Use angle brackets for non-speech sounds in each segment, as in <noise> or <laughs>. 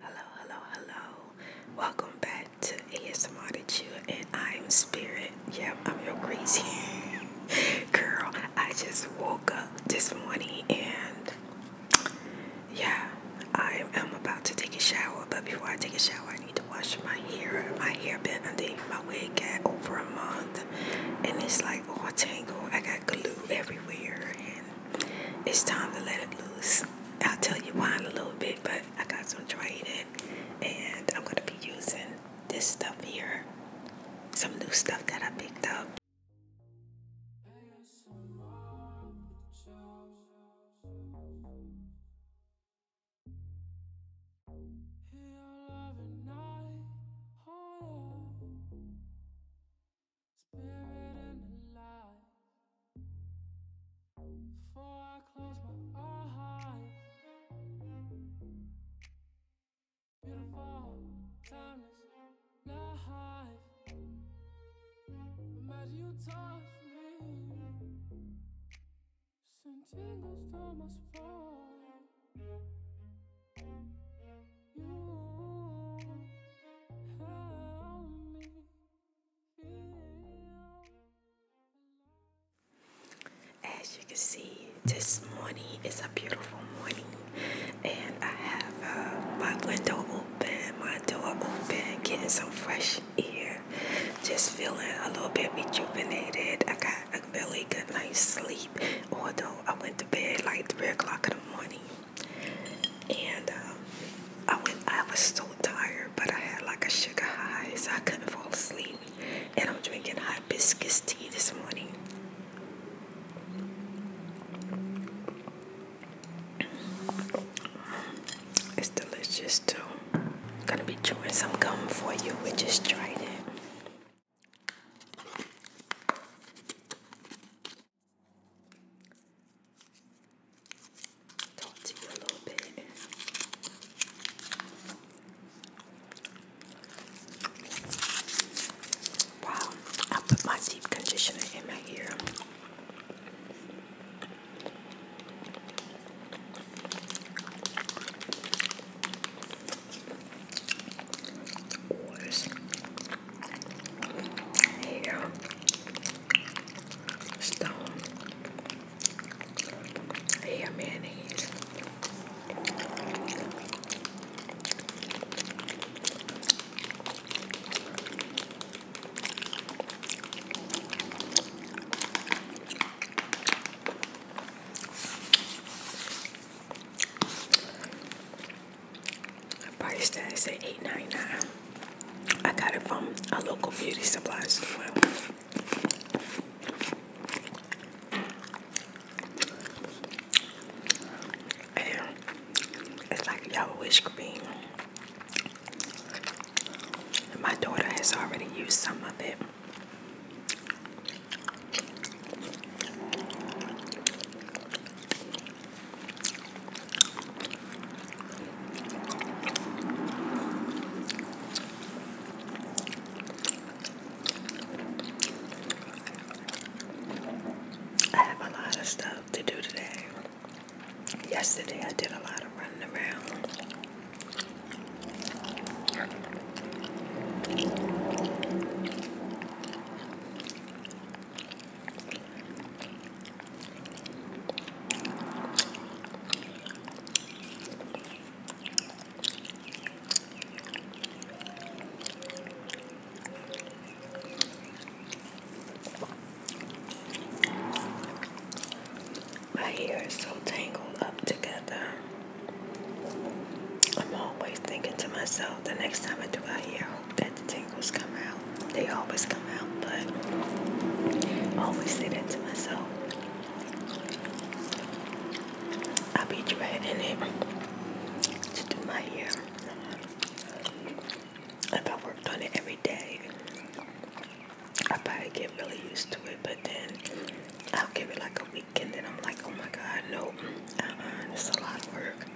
Hello, hello, hello. Welcome back to ASMR that you and I am Spirit. Yep, I'm your crazy <laughs> girl. I just woke up this morning and yeah, I am about to take a shower. But before I take a shower, I need to wash my hair. My hair been underneath my wig got over a month and it's like all tangled. I got glue everywhere. And it's time to let it loose. I'll tell you why in a little bit, but I got some dried in, and I'm gonna be using this stuff here, some new stuff that I picked up. Spirit and alive. Before I close my eyes. Beautiful, timeless life. Imagine you touch me. Send tingles down my as you can see, this morning is a beautiful morning, and I have uh, my window open, my door open, getting some fresh air, just feeling a little bit rejuvenated. I got a really good night's sleep, although I went to bed like 3 o'clock in the morning and uh, I went. I was so tired, but I had like a sugar high, so I couldn't fall asleep. And I'm drinking hibiscus tea this morning. It's delicious too. I'm gonna be chewing some gum for you. We just trying it. Talk to you a little bit. Wow, I put my deep conditioner in my ear. Waters hair, stone, hair mayonnaise price tag say eight ninety nine. I got it from a local beauty supply store. it's like yellowish green. And my daughter has already used some of it. I have a lot of stuff to do today. Yesterday I did a lot of running around. My hair is so tangled up together. I'm always thinking to myself the next time I do my hair, that the tingles come out. They always come out, but I always say that to myself. I'll be dreading it to do my hair. If I worked on it every day, I probably get really used to it, but then I'll give it like a weekend, and then I'm like, oh my god, no, uh-uh, it's a lot of work.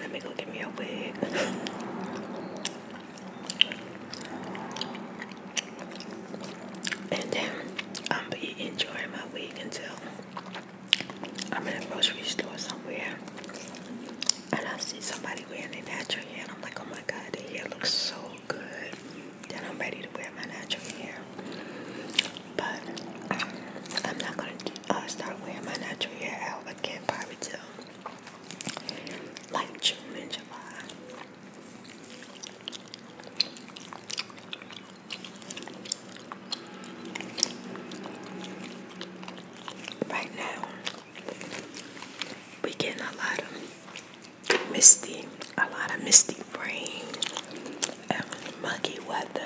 Let me go get me a wig. And then I'm be enjoying my wig until I'm in a grocery store somewhere and I see somebody wearing a natural hair and I'm like, oh my god, their hair looks so good. Then I'm ready to wear my natural hair. But I'm not gonna uh, start wearing my natural hair out can't probably tell. Like June and July. Right now, we getting a lot of misty, a lot of misty rain and muggy weather.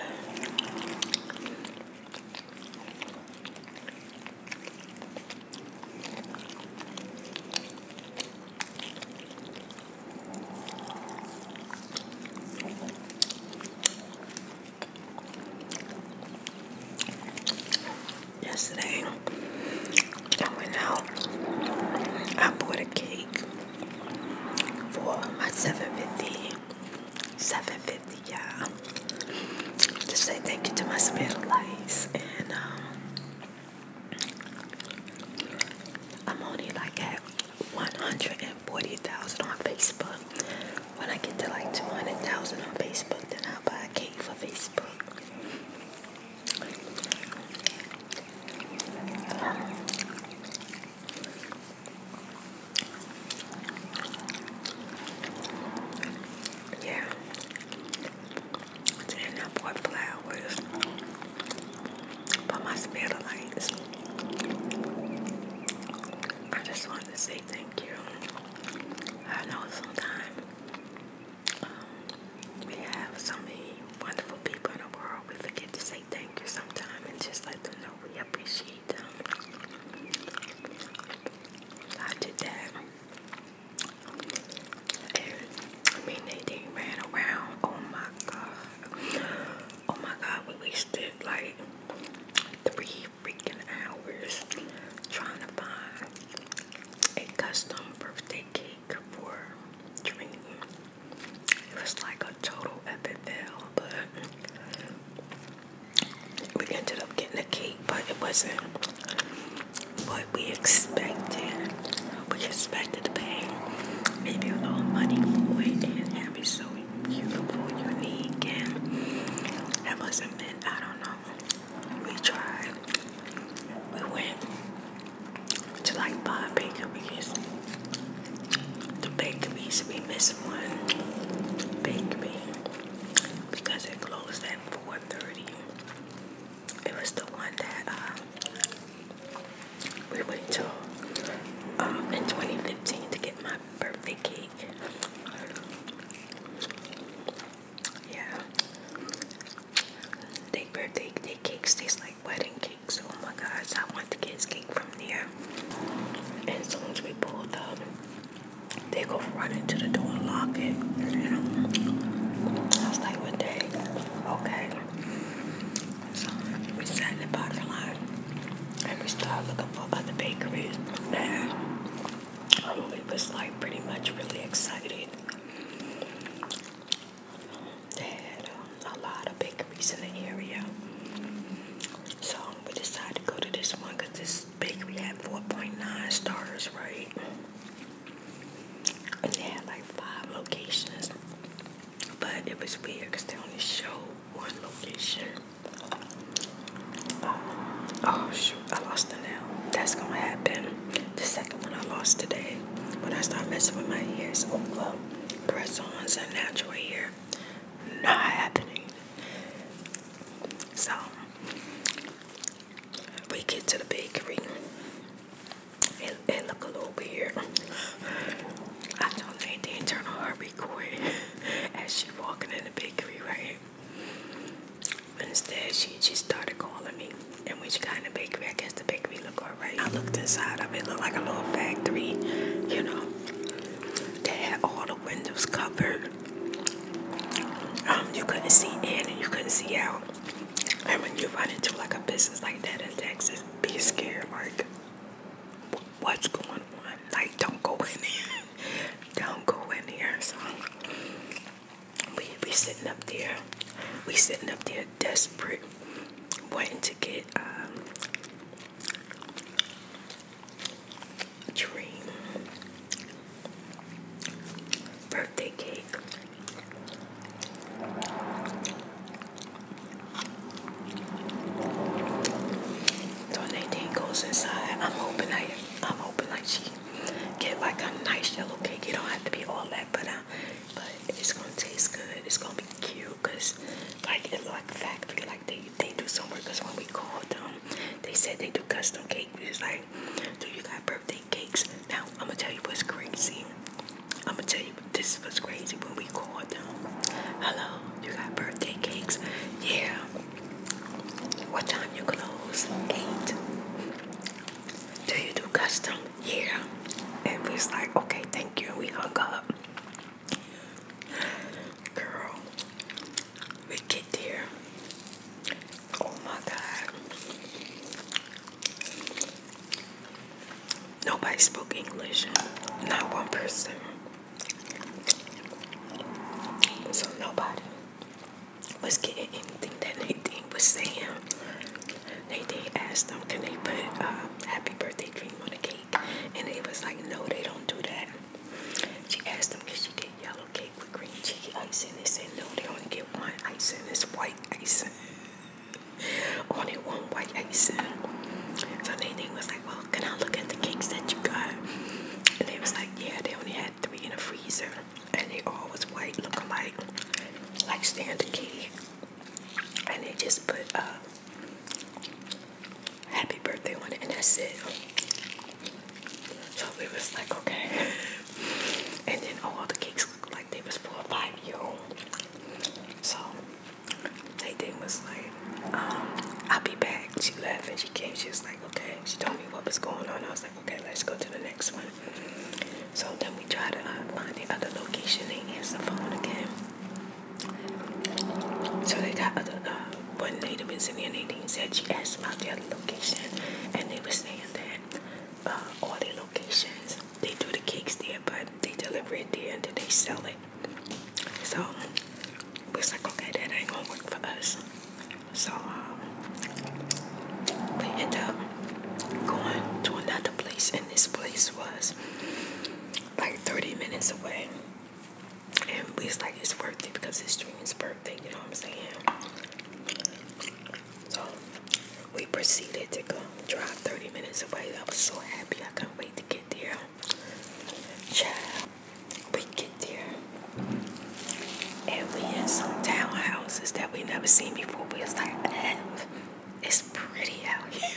Yesterday, I went out. I bought a cake for my 750 Seven fifty, dollars Just say thank you to my special lights. And um, I'm only like at 140,000 on Facebook. When I get to like 200,000 on Facebook, then I'll buy a cake for Facebook. Yeah. Then I bought flowers for my spirit I just wanted to say thank you. I know sometimes um, we have so many wonderful people in the world. We forget to say thank you sometimes and just let them know we appreciate I did that. And I mean, they, they around. Oh my god. Oh my god, we wasted like three freaking hours trying to find a custom birthday cake for Dream. It was like a total epic fail, but we ended up getting a cake, but it wasn't what we expected. We expected to pay maybe a little money for it and have it so beautiful, unique, and that wasn't meant. I don't know. We tried. We went to like five bakeries. The bakeries, we missed one bakery because it closed at 4.30. It was the one that um, we went to um, in 2015 to get my birthday cake. Yeah. They birthday they cakes like wedding cakes. Oh my gosh, I want the kids cake from there. as soon as we pulled up, they go run into the door and lock it. I was like, what day? Okay. So we sat in the parking lot and we started looking for other bakeries. And we was like pretty much really excited. They had um, a lot of bakeries in the area. So we decided to go to this one because this bakery had 4.9 stars, right? And they had like five locations. But it was weird because they only showed one location. Um, oh shoot, I lost it nail. That's gonna happen. The second one I lost today when I started messing with my ears. Oh, well, press on and natural hair. Not happening. So we get to the bakery. and look a little weird. I don't did the internal on her record <laughs> as she walking in the bakery, right? Instead, she she started calling me. And when got in the bakery, I guess the bakery looked alright. I looked inside of it, looked like a little factory, you know. They had all the windows covered. Um, you couldn't see in and you couldn't see out. And when you run into like a business like that in Texas, be scared. Like, what's going on? Like, don't go in there. don't go in here. So we we sitting up there. We sitting up there, desperate, waiting to get um, dream birthday cake. So Nadine goes inside. I'm hoping I, I'm hoping like she get like a nice yellow cake. It don't have to be all that, but uh, but it's gonna taste good. It's gonna be cute, cause like it it's like factory, like they they do somewhere. Cause when we called them, they said they do custom cake. It's like, do you got birthday cakes? Now, I'm gonna tell you what's crazy. I'm gonna tell you this is what's crazy when we call them. Hello, you got birthday cakes? Yeah. What time you close? Eight. Do you do custom? Yeah. And we was like, okay, thank you. And we hung up. Girl, we get there. Oh my God. Nobody spoke English. Not one person. So nobody was getting anything that they did Nadine was saying. Nadine asked them, can they put a uh, happy birthday dream on the cake? And it was like, no, they don't do that. She asked them, could she did yellow cake with green cheese icing? They said, no, they only get one icing. It's white icing. <laughs> only one white icing. So they, was like, well, can I look at the cakes that you got? And they was like, yeah, they only had three in the freezer. And they all was white, looking like, like standard cake. And they just put, uh, happy birthday on it, and that's it. So we was like, okay. <laughs> and then all the cakes looked like they was for a five-year-old. So they thing was like, um, I'll be back. She left and she came. She was like, okay. She told me what was going on. I was like, okay, let's go to the next one. So then we tried to uh, find the other location. They answered the phone again. So they got other uh, one lady was in there and said she asked about their location and they were saying that uh, all their locations they do the cakes there but they deliver it there and then they sell it. So we was like okay that ain't gonna work for us. So um, we ended up going to another place and this place was like 30 minutes away and we it's like it's worth it because it's Dream's birthday, you know what I'm saying? So we proceeded to go drive 30 minutes away. I was so happy, I couldn't wait to get there. Child, we get there and we in some townhouses that we never seen before. We was like, it's pretty out here.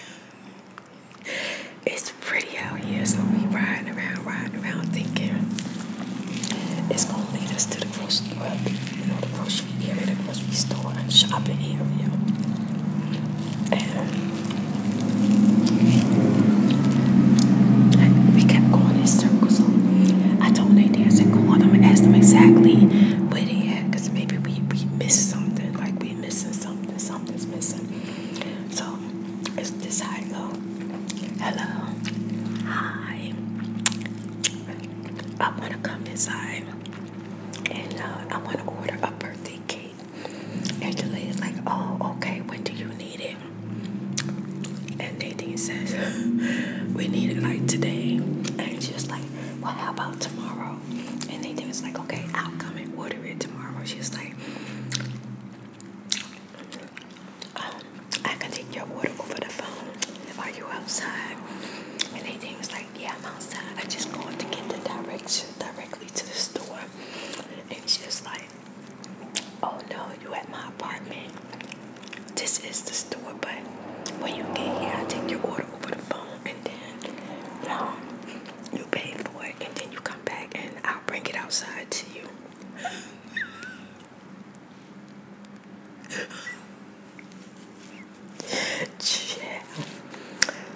<laughs> It's pretty out here, so we riding around, riding around, thinking it's gonna lead us to the grocery, you know, the grocery area, the grocery store, and shopping area. And we kept going in circles. I told Nate I said, go on, I'm ask them exactly where they at, because maybe we we missed something, like we missing something, something's missing. So low. Is this high low? Hello. Hi. I want to come inside and uh, I want to order a birthday cake. And the lady's like, oh, okay, when do you need it? And Nadine says, <laughs> we need it like today. And she like, well, how about tomorrow? And Nadine was like, okay, I'll come and order it tomorrow. She was like, um, I can take your order over the phone. if Are you outside? And they was like, yeah, I'm outside. I just going to get the direction directly to the store. And she was like, oh no, you at my apartment. This is the store, but when you get here, I take your order over the phone and then um, you pay for it and then you come back and I'll bring it outside to you yeah.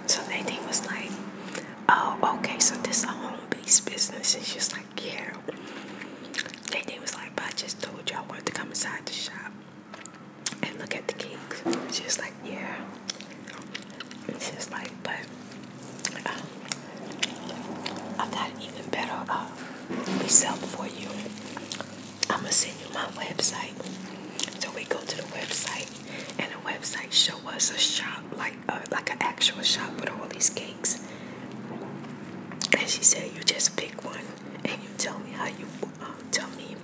So Nadine was like, oh, okay, so this is a home-based business. And she like, yeah. Nadine was like, but I just told you I wanted to come inside the shop and look at the cakes. She was like, yeah. It's just like, but uh, I got even better uh, for you. I'm gonna send you my website. So we go to the website, and the website show us a shop like uh, like an actual shop with all these cakes. And she said, "You just pick one, and you tell me how you um, tell me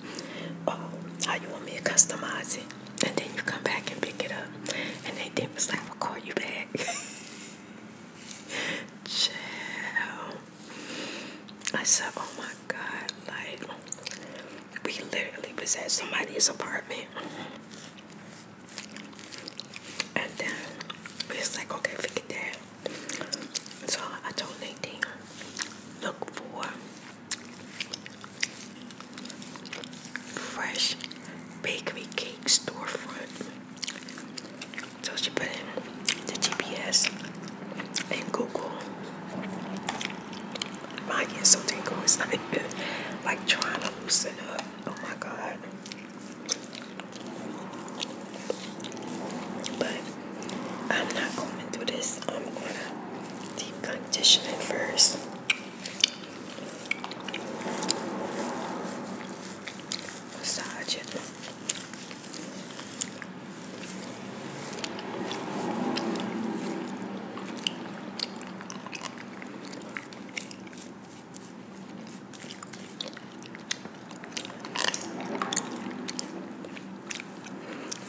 uh, how you want me to customize it, and then you come back and pick it up." And they did was like, "I'll call you back." <laughs> Chill. I said, oh my God, like, we literally was at somebody's apartment. And then we was like, okay, forget that. So I told Nadine, look for fresh bakery cake storefront. So she put in the GPS and Google. My ears something going, It's <laughs> like, like trying to loosen up. Oh my God. But I'm not going to this. I'm going to deep condition it first.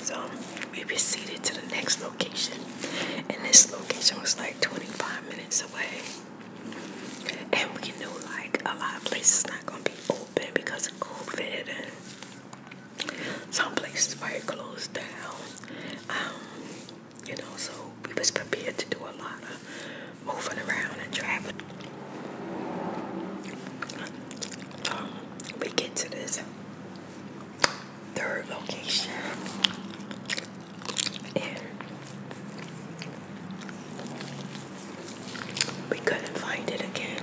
So we proceeded to the next location, and this location was like 25 minutes away. And we knew like a lot of places not gonna be open because of COVID and some places were closed down. Um, you know, so we was prepared to do a lot of moving around and traveling. Um, we get to this third location we couldn't find it again.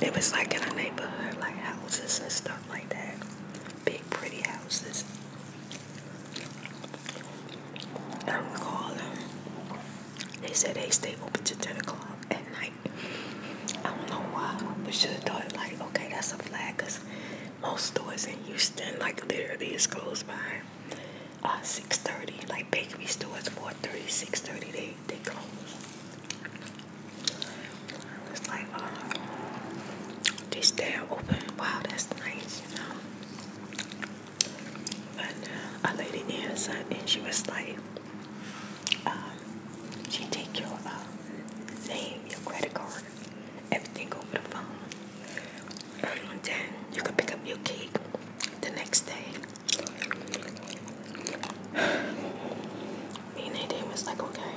It was like in a neighborhood, like houses and stuff like that. Big, pretty houses. And I'm calling. They said they stay open till 10 o'clock at night. I don't know why. We should have thought, like, okay, that's a flag, because most stores in Houston, like, literally is close by uh, 6.30. Like bakery stores, 4.30, 6.30, they, they close. It's like, uh, they stay open. Wow, that's nice, you know. But a lady answered uh, and she was like, um, she take your uh, name, your credit card, everything over the phone then you can pick up your cake the next day. Me and Nadine was like, okay,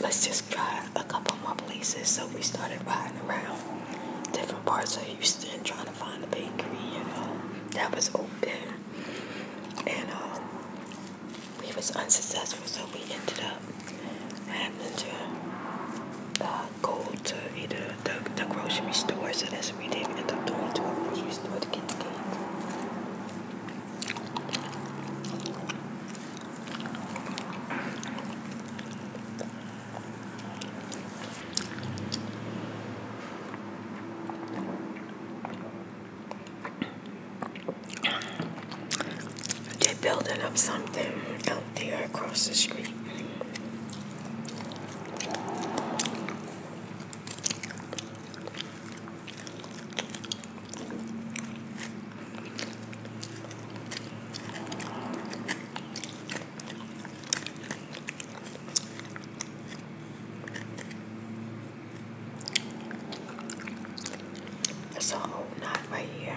let's just try a couple more places. So we started riding around different parts of Houston trying to find a bakery, that was open. And um, we was unsuccessful, so we ended up having to uh, go to either the, grocery store, so that's what we did end up going to a grocery store to get the cake. They're building up something out there across the street. That's a whole knot right here.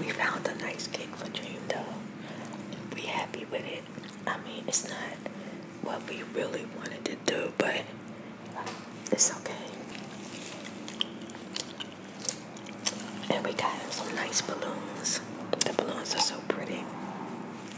We found a nice cake for Dream though. We happy with it. I mean, it's not what we really wanted to do, but it's okay. And we got some nice balloons. The balloons are so pretty.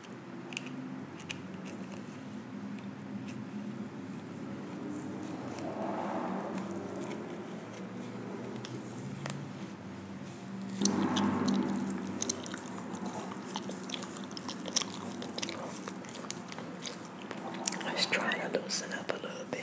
I was trying to loosen up a little bit.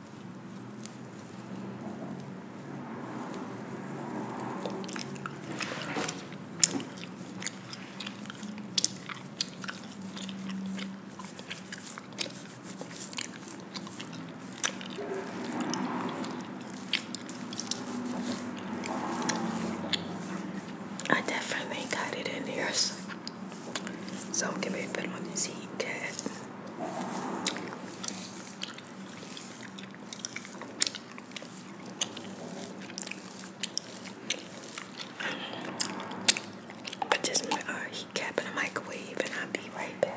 I definitely got it in here. So, so I'm getting ready to put on but just uh, heat cap in the microwave, and I'll be right back.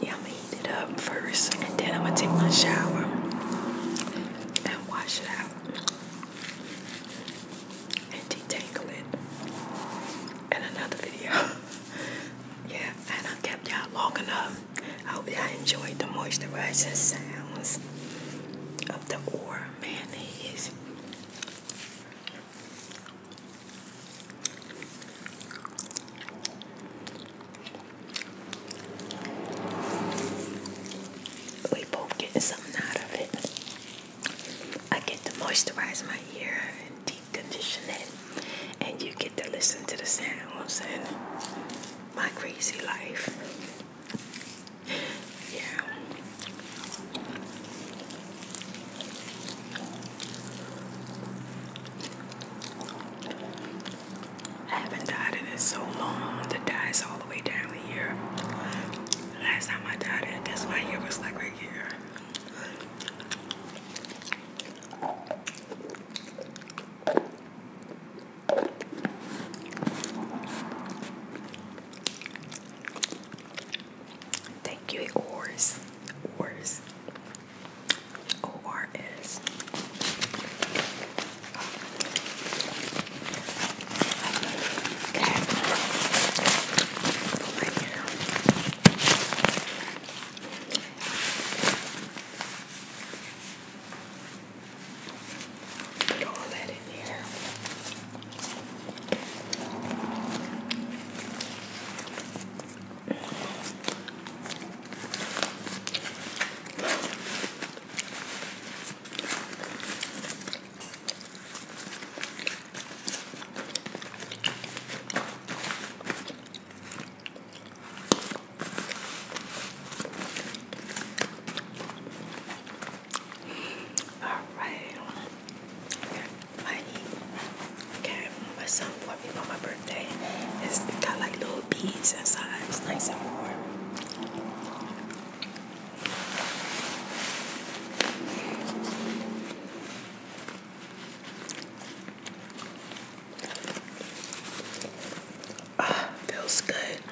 Yeah, I'm gonna heat it up first and then I'm gonna take my shower and wash it out and detangle it in another video. <laughs> yeah, and I kept y'all long enough. I hope you enjoyed the moisturizing sounds of the war our mayonnaise. We both getting something out of it. I get to moisturize my ear and deep condition it, and you get to listen to the sounds in my crazy life yeah. I haven't dyed it in so long. The dye all the way down here. Last time I died, it, this one was like right here. Thank you, Ors. Ors. O R S. Put all that in there. Alright. Okay, money. Okay, my son bought me for my birthday. It's got like little beads inside. It's nice and warm. Ah, feels good.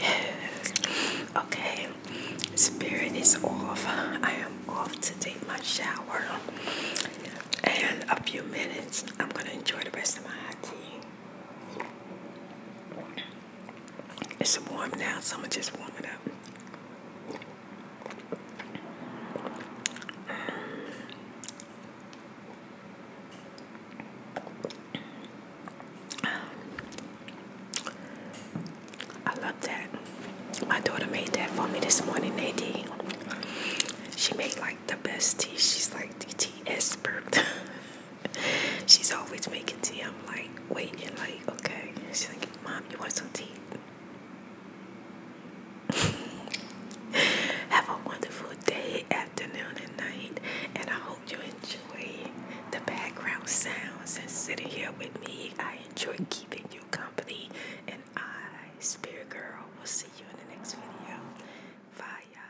Yes. Okay. Spirit is off. I am off to take my shower. And a few minutes, I'm going to enjoy the rest of my tea. It's warm now, so I'm going to just warm it up. Um, I love that. My daughter made that for me this morning, Nadine. She made like the best tea. She's like the tea expert. She's always making tea. I'm like wait waiting, like, okay. She's like, Mom, you want some tea? <laughs> Have a wonderful day, afternoon, and night. And I hope you enjoy the background sounds and sitting here with me. I enjoy keeping you company. And I, Spirit Girl, we will see you in the next video. Bye.